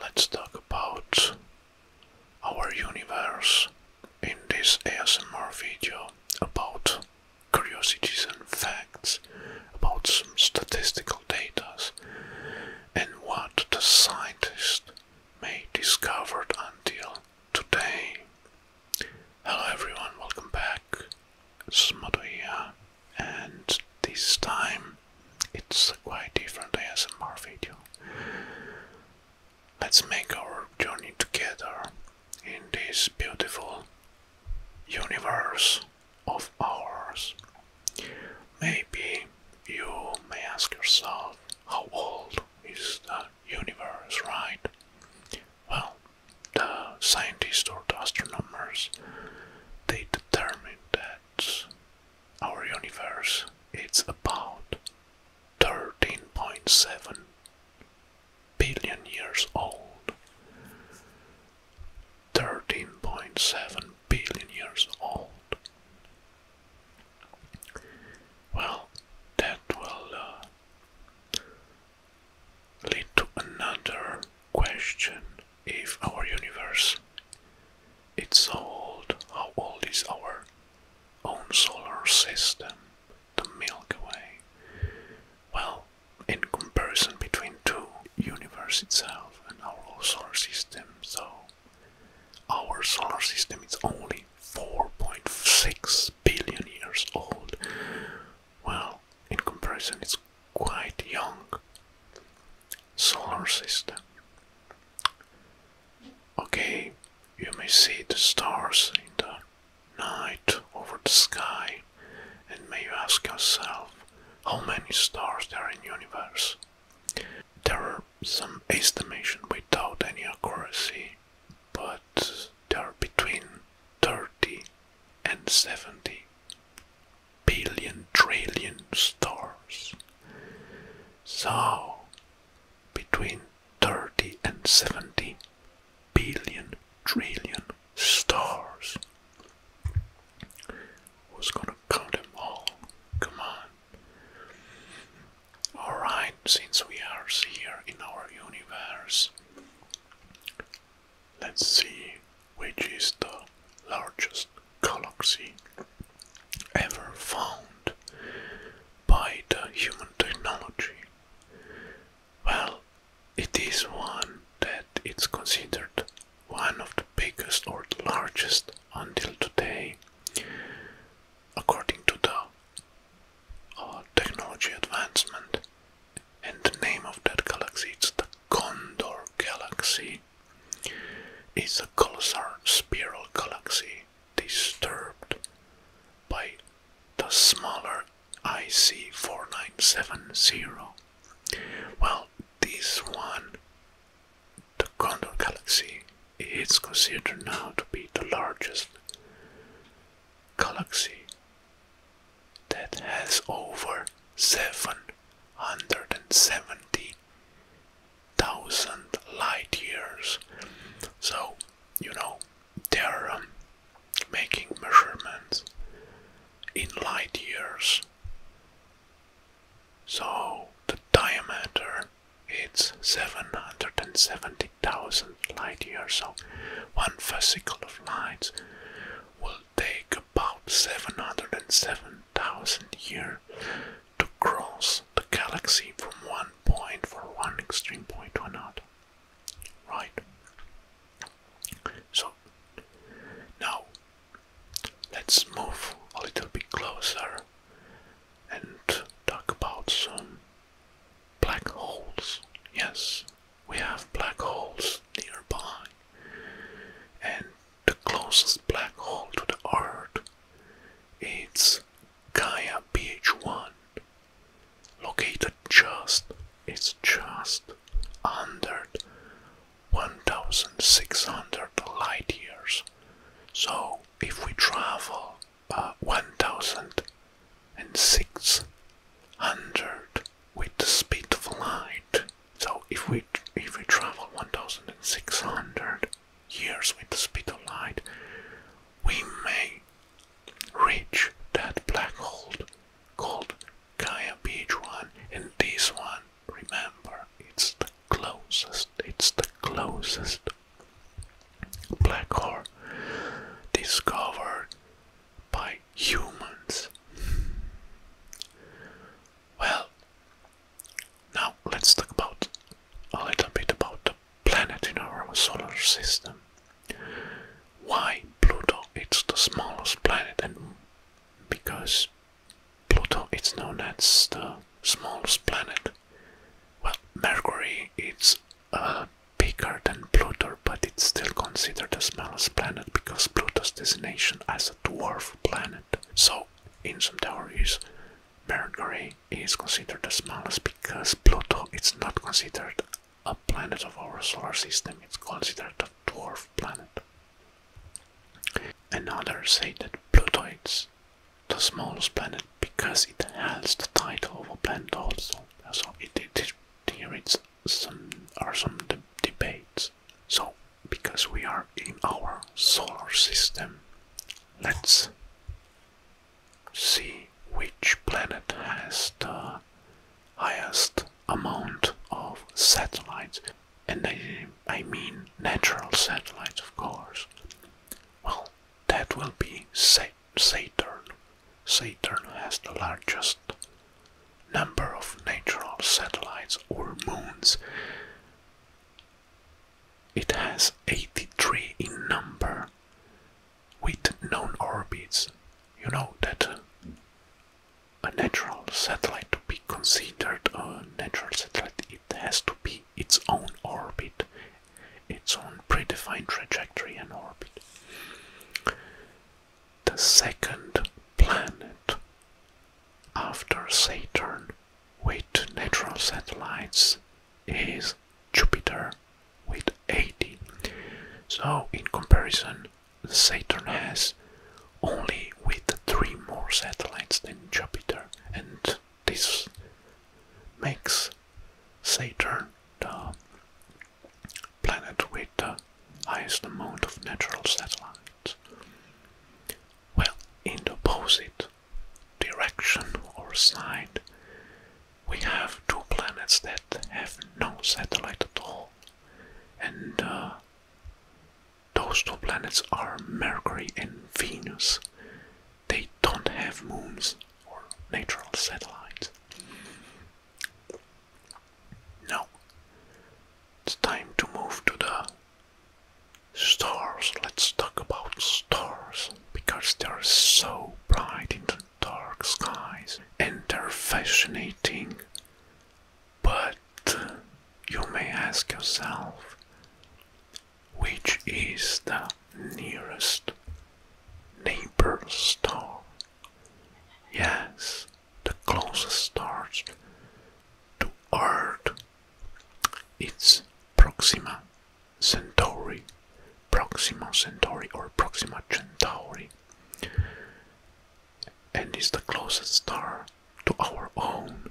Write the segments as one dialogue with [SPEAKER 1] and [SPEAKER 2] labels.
[SPEAKER 1] Let's talk about our universe in this ASMR video about curiosities and facts, about some statistical data, and what the scientists may discovered until today. Hello everyone, welcome back. It's Mato here, and this time it's quite different ASMR video. Let's make our journey together in this beautiful universe of ours. Maybe you may ask yourself, how old is the universe, right? Well, the scientists or astronomers they determined that our universe, it's about 13.7 billion years old. 13.7 billion years old. Well, that will uh, lead to another question if our universe it's so old, how old is our own solar system, the Milky Way? Well, in comparison between two universe itself and our solar system, so our solar system is only 4.6 billion years old. Well, in comparison, it's quite young solar system. Okay, you may see the stars in the night over the sky and may you ask yourself how many stars there are in the universe. There are some estimation without any accuracy, but there are between 30 and 70 billion trillion stars. So, between 30 and 70 billion trillion stars. Who's gonna count them all? Come on. Alright, since we are here in our universe, let's see which is the largest galaxy ever found by the human technology? Well, it is one that it's considered one of the biggest or the largest until today, according to the uh, technology advancement. And the name of that galaxy it's the Condor Galaxy is a colossal spiral galaxy disturbed by the smaller IC 4970. Well, this one, the Condor Galaxy, is considered now to be the largest galaxy that has over 7 170,000 light years. So, you know, they're um, making measurements in light years. So, the diameter it's 770,000 light years. So, one fascicle of light will take about seven hundred and seven thousand years to cross the galaxy from one point for one extreme point to another. Right. So now let's move a little bit closer and talk about some black holes. Yes, we have black holes nearby, and the closest black hole to the Earth. It's Gaia BH1, located just, it's just under 1,600 light years. So if we travel uh, 1,600 with the speed of light, so if we if we travel 1,600 years with the speed of light, we may reach that black hole called Gaia B1 and this one, remember, it's the closest, it's the closest black hole discovered by humans. Well, now let's talk about a little bit about the planet in our solar system. Why Pluto it's the smallest planet and because Pluto it's known as the smallest planet. Well Mercury it's uh, bigger than Pluto but it's still considered the smallest planet because Pluto's designation as a dwarf planet. So in some theories Mercury is considered the smallest because Pluto is not considered a planet of our solar system, it's considered a dwarf planet. Others say that Pluto is the smallest planet because it has the title of a planet also. So it, it, it's some are some debates. So because we are in our solar system. Let's see which planet has the highest amount of satellites. And I, I mean natural satellites, of course. Well, that will be Saturn. Saturn has the largest number of natural satellites or moons. It has 83 in number with known orbits. You know that a natural satellite to be considered a natural satellite, it has to be its own orbit, its own predefined trajectory and orbit. The second planet after Saturn with natural satellites is Jupiter with 80. So, in comparison, Saturn has only with three more satellites than Jupiter, and this makes Saturn the planet with the highest amount of natural satellites. Well, in the opposite direction or side, we have two planets that have no satellite at all. And uh, those two planets are Mercury and Venus. They don't have moons or natural satellites. Now, it's time to move to the Stars, let's talk about stars, because they're so bright in the dark skies and they're fascinating. But you may ask yourself, which is the nearest neighbor star? Yes, the closest stars to Earth it's Proxima Centauri, Proxima Centauri or Proxima Centauri, and is the closest star to our own,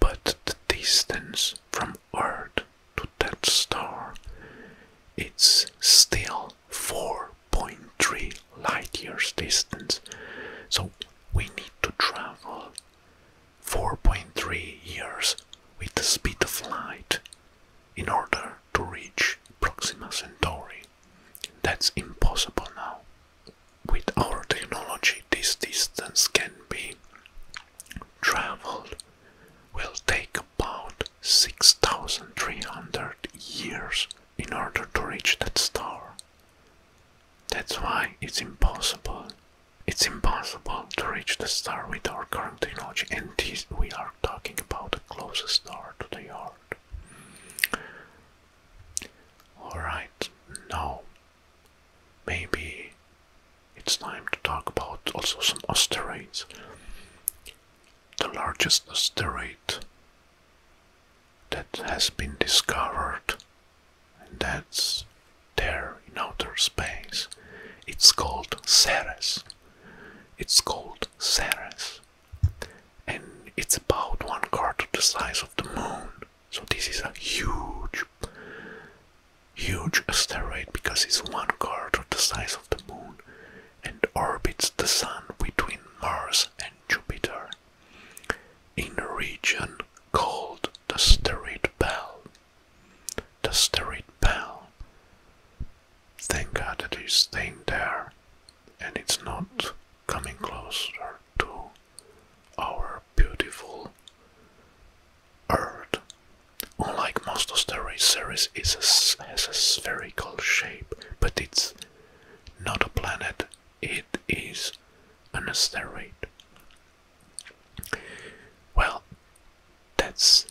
[SPEAKER 1] but the distance from Earth to that star it's still 4.3 light years distance. So we need to travel 4.3 years with the speed of light in order to reach Proxima Centauri. That's impossible now. With our technology, this distance can be traveled, will take about 6,300 years in order to reach that star. That's why it's impossible it's impossible to reach the star with our current technology, and we are talking about the closest star to the Earth. Alright, now maybe it's time to talk about also some asteroids. The largest asteroid that has been discovered and that's there in outer space. It's called Ceres. It's called Ceres. And it's about one quarter the size of the moon. So this is a huge, huge asteroid because it's one quarter the size of the moon and orbits the sun between Mars and Jupiter in a region called the steroid bell. The steroid bell. Thank God that it's staying there and it's not coming closer to our beautiful Earth. Unlike most asteroid series, it has a spherical shape, but it's not a planet, it is an asteroid. Well, that's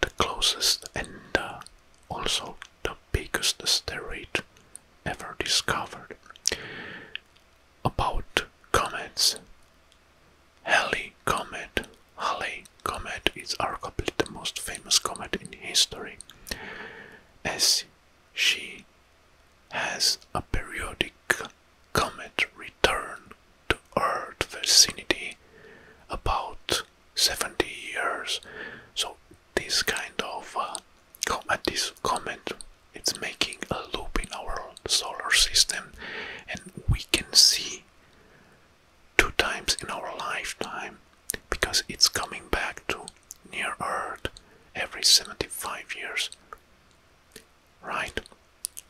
[SPEAKER 1] the closest and uh, also the biggest asteroid ever discovered. About comets, Halley comet, Halley comet is arguably the most famous comet in history, as she has a periodic comet return to Earth vicinity about 70 years. So this kind of uh, uh, this comet, it's making a loop in our solar system, and we can see two times in our lifetime because it's coming back to near Earth every 75 years right?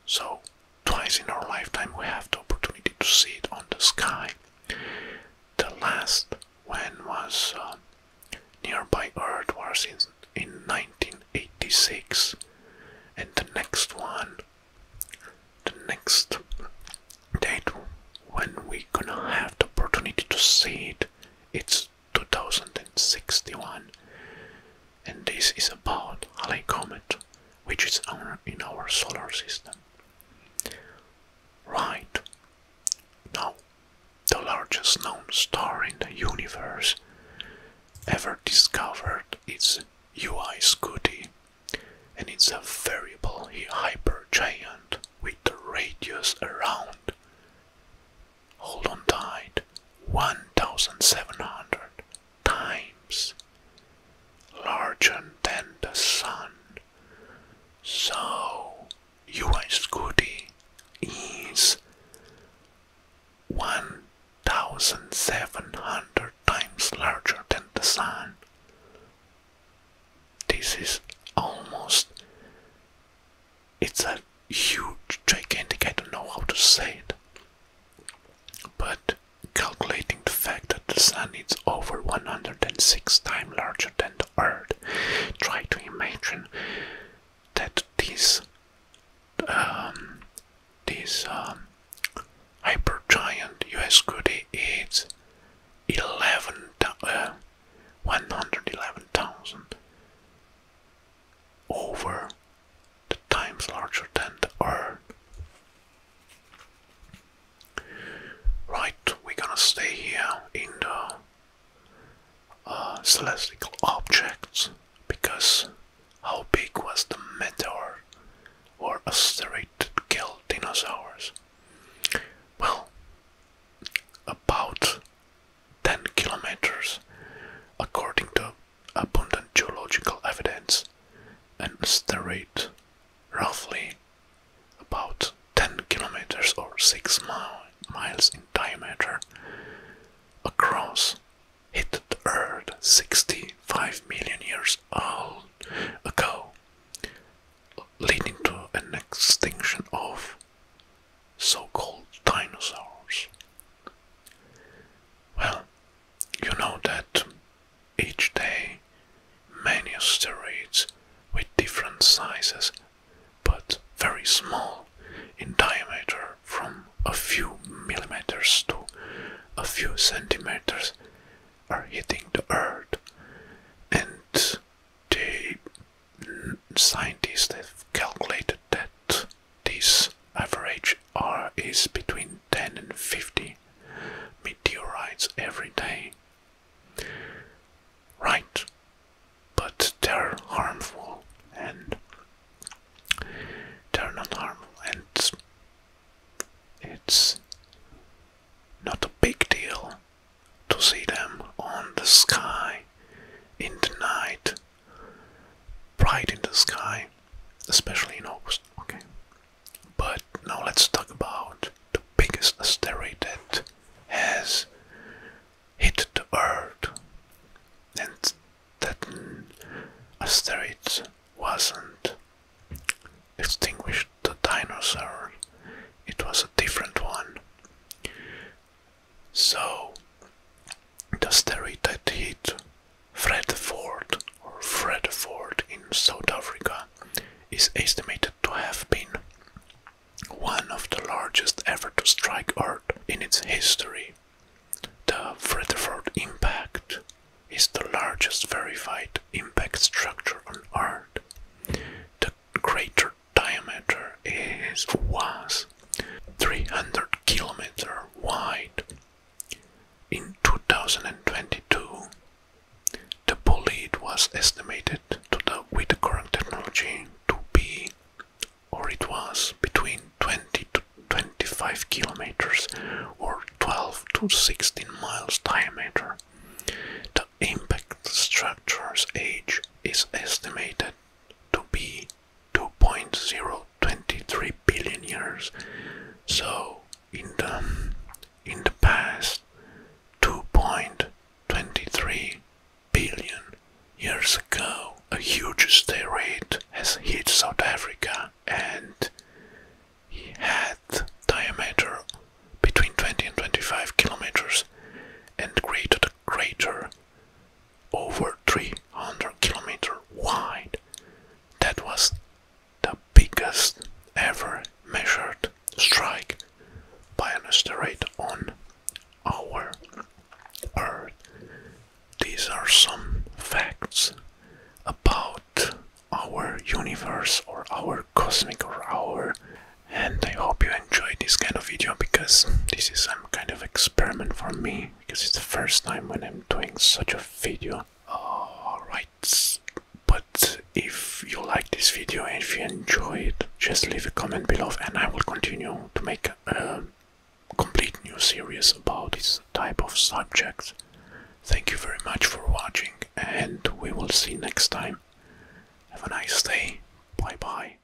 [SPEAKER 1] So, twice in our lifetime we have the opportunity to see it on the sky. The last one was um, nearby Earth was in, in 1986, and the next one, the next date when we gonna have the opportunity to see it, it's 2061, and this is about Halley Comet, which is in our solar system. Right. Now, the largest known star in the universe ever discovered is UI Scuti, and it's a variable hypergiant with a radius around Hold on tight 1700 times larger than the sun. So, UI Scooty is 1700 times larger than the sun. This is almost it's a huge, gigantic, I don't know how to say it. But calculating the fact that the sun is over 106 times larger than the earth, try to imagine that this um, this um, hypergiant US goody is 11 uh, 111,000 over the times larger than the Earth. Right, we're gonna stay here in the uh, celestial objects because how big was the meteor or asteroid that killed dinosaurs? Well, about 10 kilometers, according to abundant geological evidence, and the rate, roughly about 10 kilometers or 6 miles in diameter across, hit the Earth 65 million years old ago, leading to an extinction of so-called dinosaurs? Well, you know that each day many asteroids with different sizes but very small in diameter from a few millimeters to a few centimeters are hitting the earth and the scientists have calculated that this average R is between 10 and 50 meteorites every day. Right, but they're harmful and they're not harmful, and it's not a big deal to see them on the sky in the night bright in the sky, especially in August. Okay. But now let's talk about the biggest asteroid that has hit the Earth, and that asteroid wasn't extinguished the dinosaur. It was a different one. So, the street hit Fredford or Fredford in South Africa is estimated to have been one of the largest ever to strike Earth in its history. The Fredford impact is the largest verified impact structure on Earth. The greater diameter is was 300 kilometer wide. In 2022, the bolide was estimated to the, with the current technology to be, or it was, between 20 to 25 kilometers or 12 to 16 miles diameter. The impact structure's age is estimated to be 2.0 23 billion years. So in the in the past 2.23 billion years ago, a huge asteroid has hit South Africa and it had diameter between 20 and 25 kilometers and created a crater over 300 kilometer wide. That was the biggest ever measured strike by an asteroid on our Earth. These are some facts about our universe or our cosmic or our and I hope you enjoy this kind of video because this is some kind of experiment for me because it's the first time when I'm doing such a video. Alright, but if you like this video and if you enjoy it, just leave a comment below and I will continue to make a complete new series about this type of subject. Thank you very much for watching and we will see next time. Have a nice day. Bye bye.